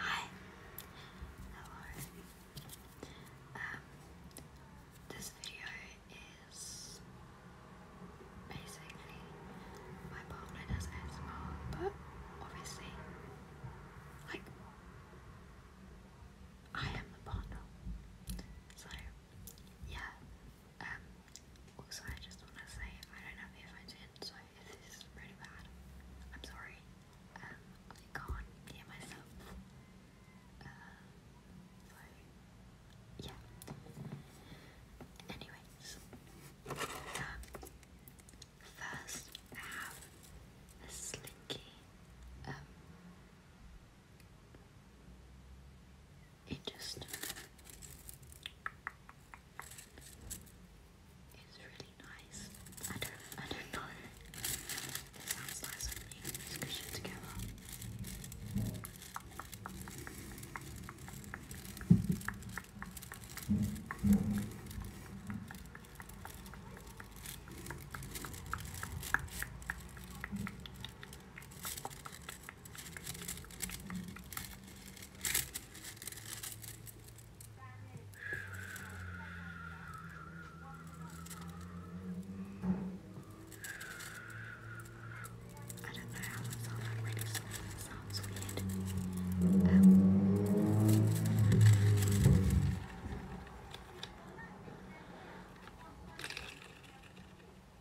Hi, how you? Um, this video is basically my partner does but obviously, like, I am the partner. So, yeah, um, also, I just want to say I don't have earphones in, so this is really bad, I'm sorry. Um, I can't hear myself. Uh, so, yeah. Anyways, um, first I have the slinky, um, it just is really nice. I don't I don't know. It sounds nice when you these cushions together. I don't know how that sounds, I'm really sorry, that sounds weird. Um,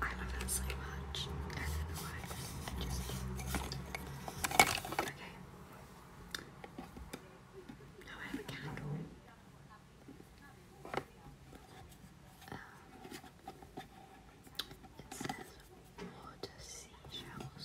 I love that so much. I okay. Now I have a candle. Um, it says water seashells.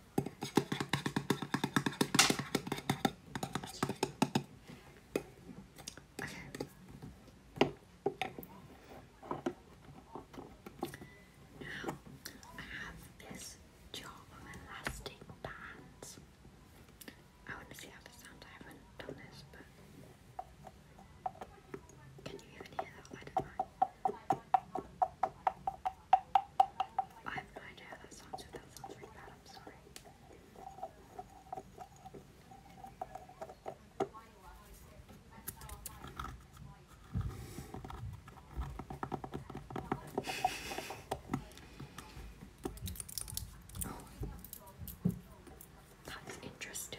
Okay. Now I have this jar of elastic bands. I want to see how this sounds. I haven't done this, but can you even hear that? I have no idea that sounds. If that sounds really bad, I'm sorry. That's interesting.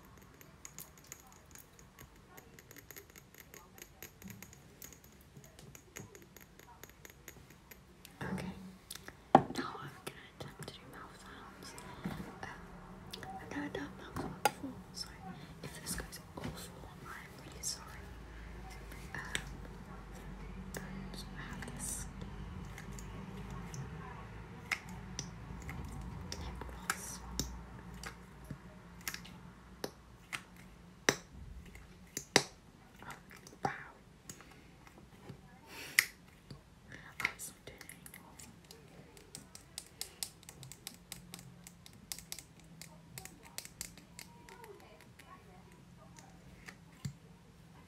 Okay, now I'm gonna attempt to do mouth sounds. Um, I've never done mouth sounds before, so if this goes awful, I'm really sorry. Um, lip gloss. wow. Oh, it's not doing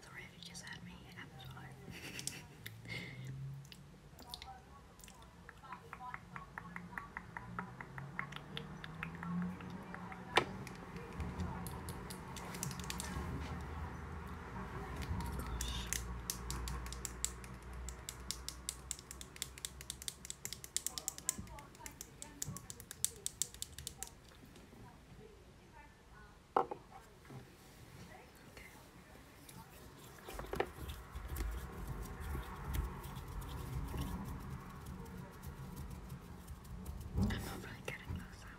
Sorry if you just had me apple swallow. I'm not really getting those out.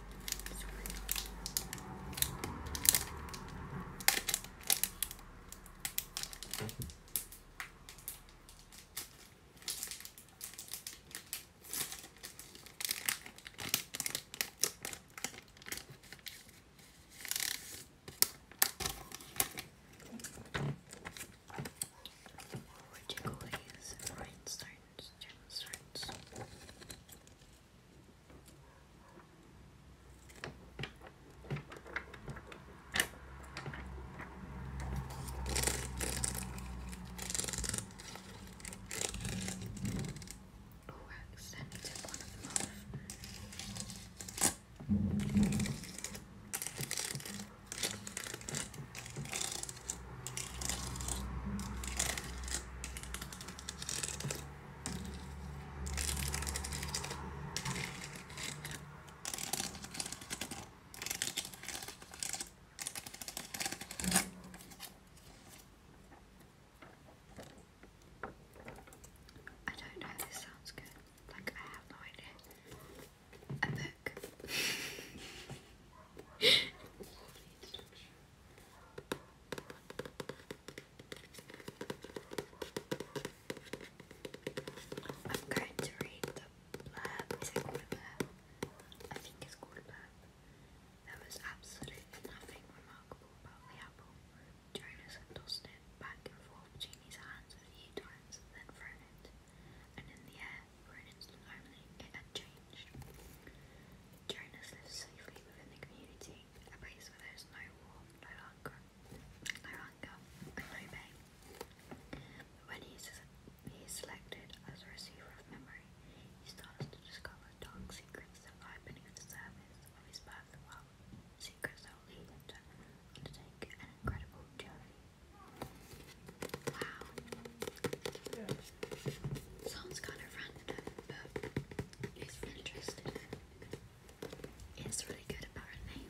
More rigid rhinestones, gemstones. Oh, I accidentally took one of them off. I don't know this sounds good. Like, I have no idea. A book. I'm going to read the blurb. I think it's called a blurb. was absolutely nothing remarkable about the apple. Jonas tossed it back and forth between his hands a few times then thrown it. And in the air, for an instant only, it had changed. Jonas lived safely within the community a place where there's no war, no hunger, no hunger, no pain. when he is, selected as a receiver of memory, he starts to discover dark secrets that lie beneath the surface of his birth world, secrets that will lead him to undertake an incredible journey. Wow. Sounds kind of random, it's really interesting. It's really good apparently.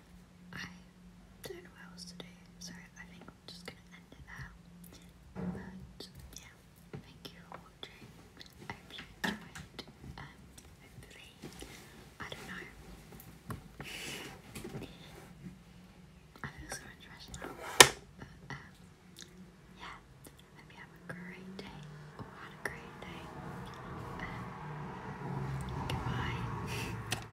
I don't know what else to do, so I think I'm just gonna end it there. But yeah, thank you for watching. I hope you enjoyed. Um, hopefully, I don't know. I feel so interested now, but um, yeah. Hope you have a great day, or a great day. Um, goodbye.